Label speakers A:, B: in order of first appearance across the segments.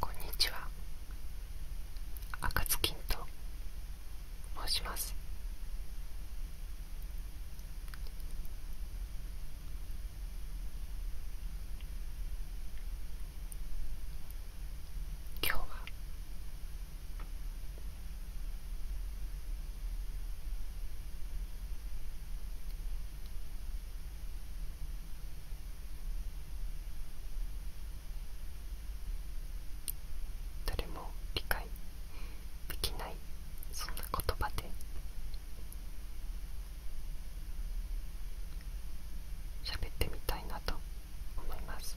A: こんにちは赤ずきんと申します今日は誰も理解できないそんな言葉で喋ってみたいなと思います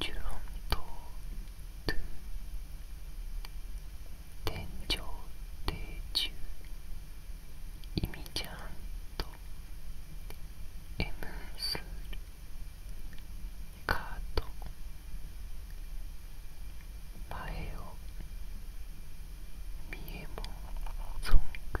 A: ジュロン島トゥ天井定住イミちゃんとエムスルカート前を見えもソング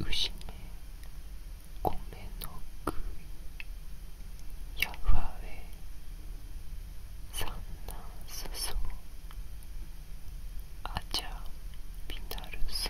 A: 牛ね米の食いやわえ産卵すそあちゃびなるそ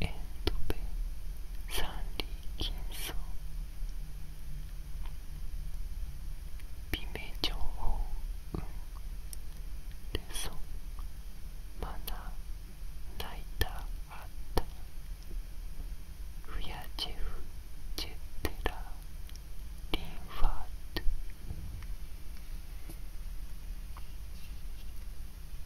A: エンドベサンリキン。三里金層美名ー報ン。レソンマナナイター。アッタフヤジェフジェッ。テラリンファート